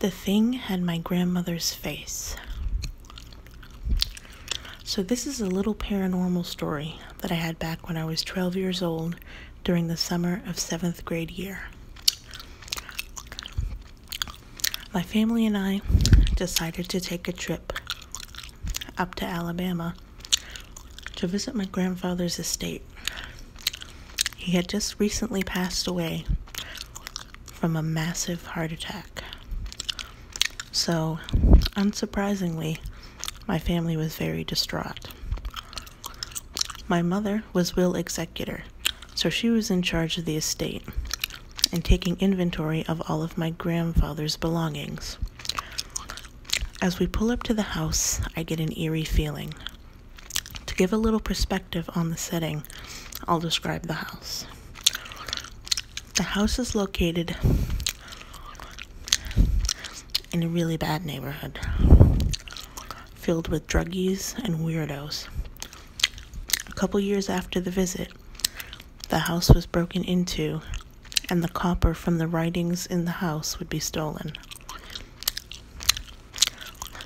The thing had my grandmother's face. So, this is a little paranormal story that I had back when I was 12 years old during the summer of seventh grade year. My family and I decided to take a trip up to Alabama to visit my grandfather's estate. He had just recently passed away from a massive heart attack. So, unsurprisingly, my family was very distraught. My mother was will executor, so she was in charge of the estate and taking inventory of all of my grandfather's belongings. As we pull up to the house, I get an eerie feeling. To give a little perspective on the setting, I'll describe the house. The house is located in a really bad neighborhood, filled with druggies and weirdos. A couple years after the visit, the house was broken into, and the copper from the writings in the house would be stolen.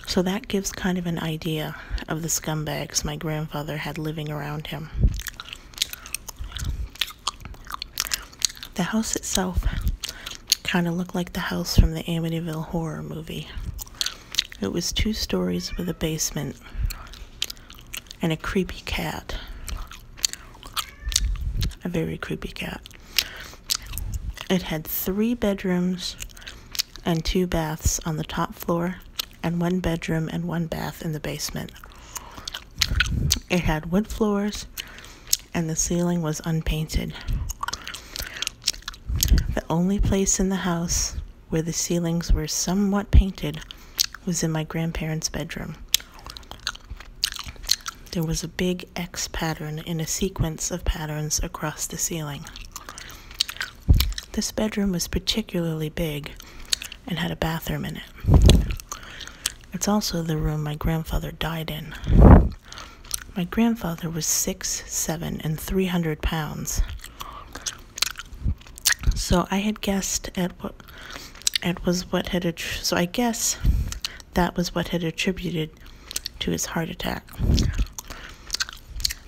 So that gives kind of an idea of the scumbags my grandfather had living around him. The house itself kind of looked like the house from the Amityville horror movie. It was two stories with a basement and a creepy cat. A very creepy cat. It had three bedrooms and two baths on the top floor, and one bedroom and one bath in the basement. It had wood floors, and the ceiling was unpainted. The only place in the house where the ceilings were somewhat painted was in my grandparents' bedroom. There was a big X pattern in a sequence of patterns across the ceiling. This bedroom was particularly big and had a bathroom in it. It's also the room my grandfather died in. My grandfather was six, seven, and 300 pounds. So I had guessed at what it was what had so I guess that was what had attributed to his heart attack.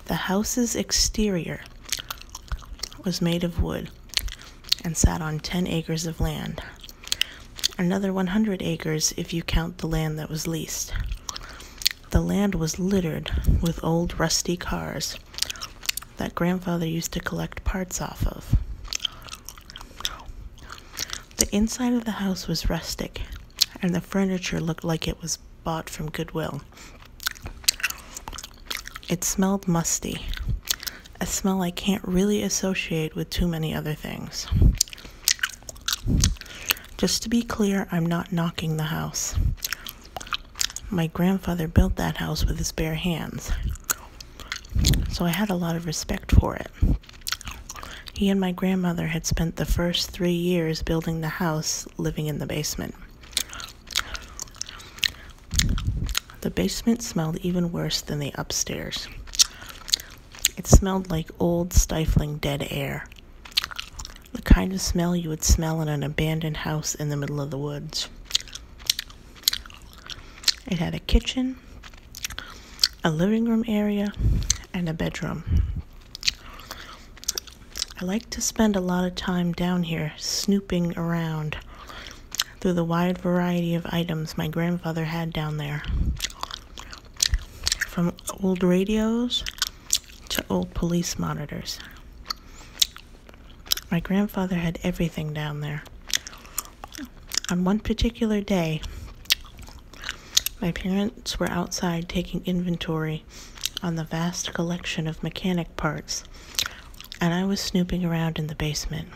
The house's exterior was made of wood and sat on 10 acres of land. Another 100 acres if you count the land that was leased. The land was littered with old rusty cars that grandfather used to collect parts off of. The inside of the house was rustic, and the furniture looked like it was bought from Goodwill. It smelled musty, a smell I can't really associate with too many other things. Just to be clear, I'm not knocking the house. My grandfather built that house with his bare hands, so I had a lot of respect for it. He and my grandmother had spent the first three years building the house, living in the basement. The basement smelled even worse than the upstairs. It smelled like old, stifling dead air. The kind of smell you would smell in an abandoned house in the middle of the woods. It had a kitchen, a living room area, and a bedroom. I like to spend a lot of time down here snooping around through the wide variety of items my grandfather had down there. From old radios to old police monitors. My grandfather had everything down there on one particular day, my parents were outside taking inventory on the vast collection of mechanic parts, and I was snooping around in the basement.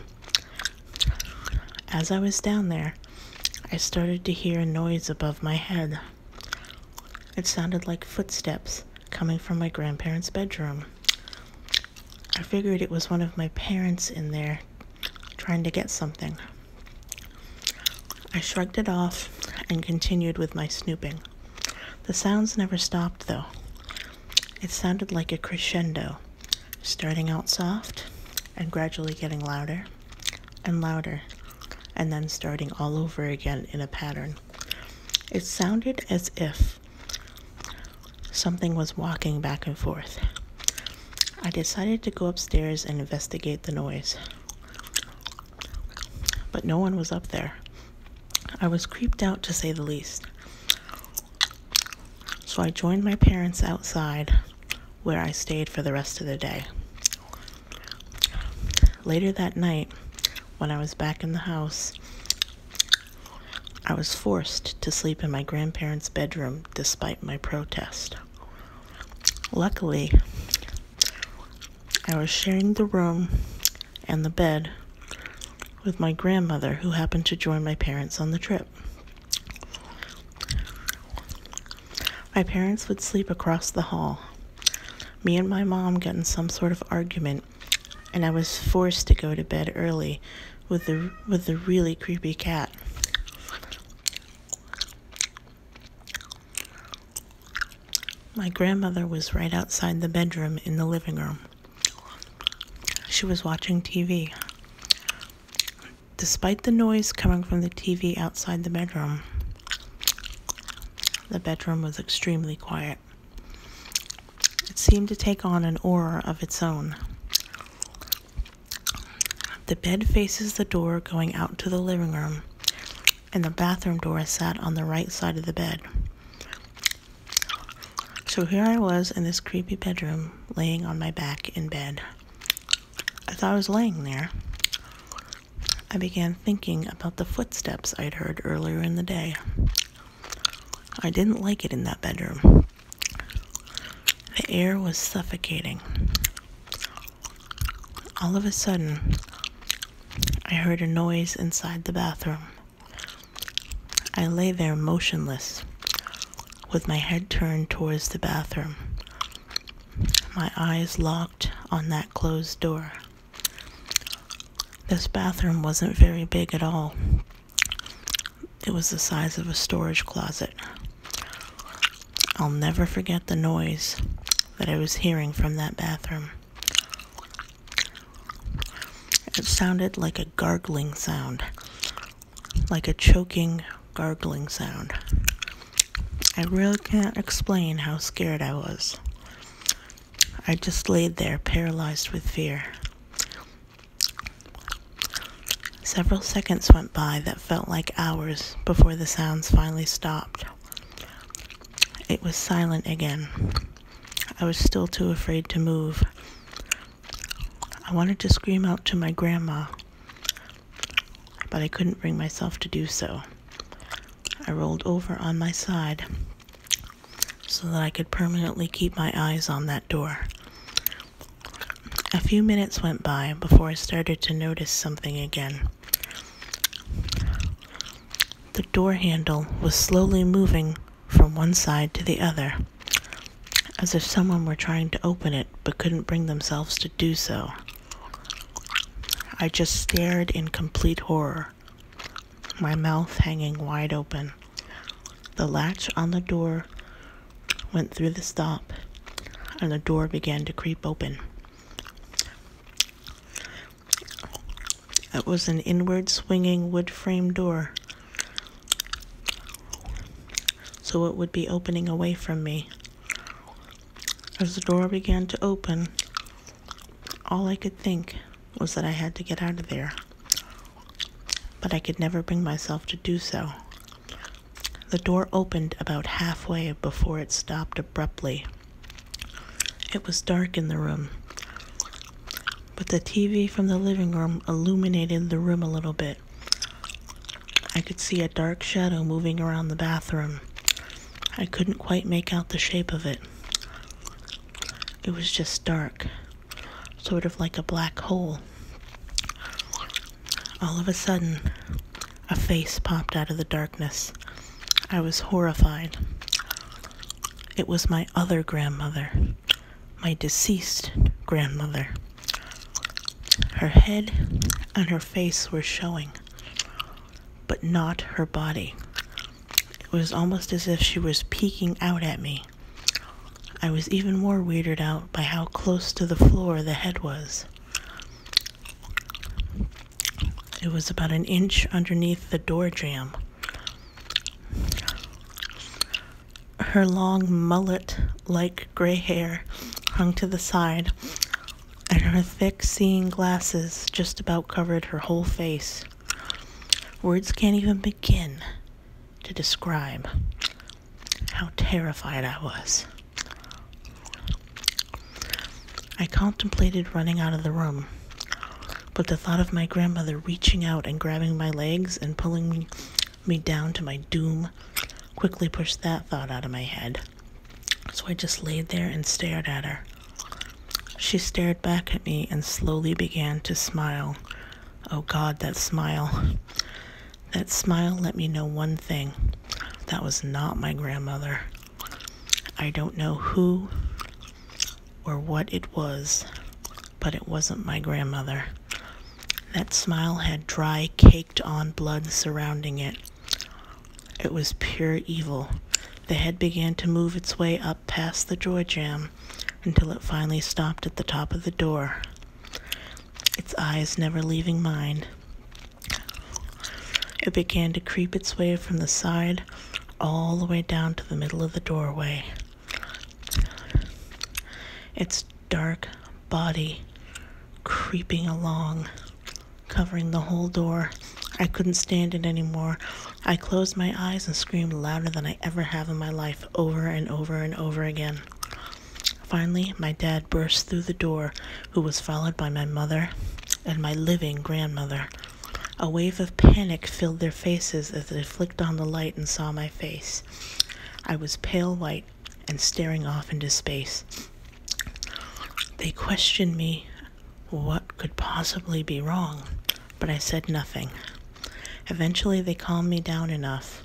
As I was down there, I started to hear a noise above my head. It sounded like footsteps coming from my grandparents' bedroom. I figured it was one of my parents in there trying to get something. I shrugged it off and continued with my snooping. The sounds never stopped, though. It sounded like a crescendo, starting out soft and gradually getting louder and louder, and then starting all over again in a pattern. It sounded as if Something was walking back and forth. I decided to go upstairs and investigate the noise. But no one was up there. I was creeped out to say the least. So I joined my parents outside, where I stayed for the rest of the day. Later that night, when I was back in the house, I was forced to sleep in my grandparents' bedroom despite my protest. Luckily, I was sharing the room and the bed with my grandmother, who happened to join my parents on the trip. My parents would sleep across the hall. Me and my mom getting some sort of argument and I was forced to go to bed early with the with the really creepy cat. My grandmother was right outside the bedroom in the living room. She was watching TV. Despite the noise coming from the TV outside the bedroom, the bedroom was extremely quiet it. seemed to take on an aura of its own. The bed faces the door going out to the living room, and the bathroom door is sat on the right side of the bed. So here I was in this creepy bedroom, laying on my back in bed. As I was laying there, I began thinking about the footsteps I'd heard earlier in the day. I didn't like it in that bedroom. The air was suffocating. All of a sudden, I heard a noise inside the bathroom. I lay there motionless, with my head turned towards the bathroom, my eyes locked on that closed door. This bathroom wasn't very big at all. It was the size of a storage closet. I'll never forget the noise that I was hearing from that bathroom. It sounded like a gargling sound, like a choking, gargling sound. I really can't explain how scared I was. I just laid there, paralyzed with fear. Several seconds went by that felt like hours before the sounds finally stopped. It was silent again. I was still too afraid to move. I wanted to scream out to my grandma, but I couldn't bring myself to do so. I rolled over on my side so that I could permanently keep my eyes on that door. A few minutes went by before I started to notice something again. The door handle was slowly moving from one side to the other, as if someone were trying to open it but couldn't bring themselves to do so. I just stared in complete horror, my mouth hanging wide open. The latch on the door went through the stop, and the door began to creep open. It was an inward swinging wood frame door, so it would be opening away from me. As the door began to open, all I could think was that I had to get out of there, but I could never bring myself to do so. The door opened about halfway before it stopped abruptly. It was dark in the room, but the TV from the living room illuminated the room a little bit, I could see a dark shadow moving around the bathroom. I couldn't quite make out the shape of it. It was just dark, sort of like a black hole. All of a sudden, a face popped out of the darkness. I was horrified. It was my other grandmother, my deceased grandmother. Her head and her face were showing but not her body. It was almost as if she was peeking out at me. I was even more weirded out by how close to the floor the head was. It was about an inch underneath the door jamb. Her long mullet like gray hair hung to the side and her thick seeing glasses just about covered her whole face. Words can't even begin to describe how terrified I was. I contemplated running out of the room, but the thought of my grandmother reaching out and grabbing my legs and pulling me me down to my doom quickly pushed that thought out of my head. So I just laid there and stared at her. She stared back at me and slowly began to smile. Oh God, that smile. That smile let me know one thing. That was not my grandmother. I don't know who or what it was, but it wasn't my grandmother. That smile had dry, caked on blood surrounding it. It was pure evil. The head began to move its way up past the door jam, until it finally stopped at the top of the door, its eyes never leaving mine. It began to creep its way from the side all the way down to the middle of the doorway. Its dark body creeping along, covering the whole door. I couldn't stand it any more. I closed my eyes and screamed louder than I ever have in my life, over and over and over again. Finally, my dad burst through the door, who was followed by my mother and my living grandmother. A wave of panic filled their faces as they flicked on the light and saw my face. I was pale white and staring off into space. They questioned me what could possibly be wrong, but I said nothing. Eventually, they calmed me down enough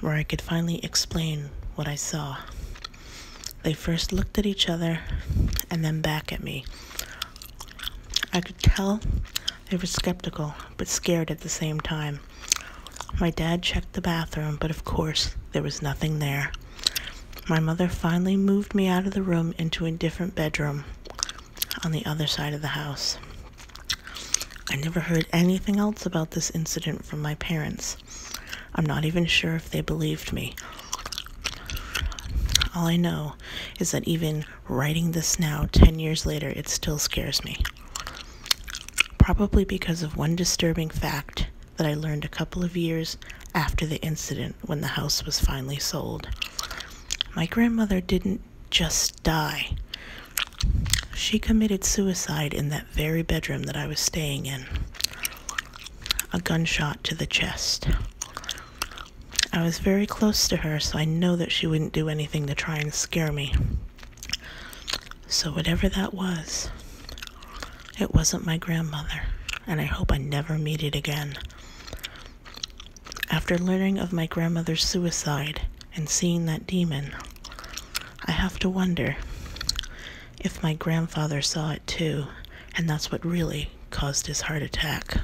where I could finally explain what I saw. They first looked at each other and then back at me. I could tell they were skeptical, but scared at the same time. My dad checked the bathroom, but of course, there was nothing there. My mother finally moved me out of the room into a different bedroom on the other side of the house. I never heard anything else about this incident from my parents. I'm not even sure if they believed me. All I know is that even writing this now, 10 years later, it still scares me. Probably because of one disturbing fact that I learned a couple of years after the incident when the house was finally sold. My grandmother didn't just die, she committed suicide in that very bedroom that I was staying in. A gunshot to the chest. I was very close to her, so I know that she wouldn't do anything to try and scare me. So, whatever that was, it wasn't my grandmother, and I hope I never meet it again. After learning of my grandmother's suicide and seeing that demon, I have to wonder if my grandfather saw it too, and that's what really caused his heart attack.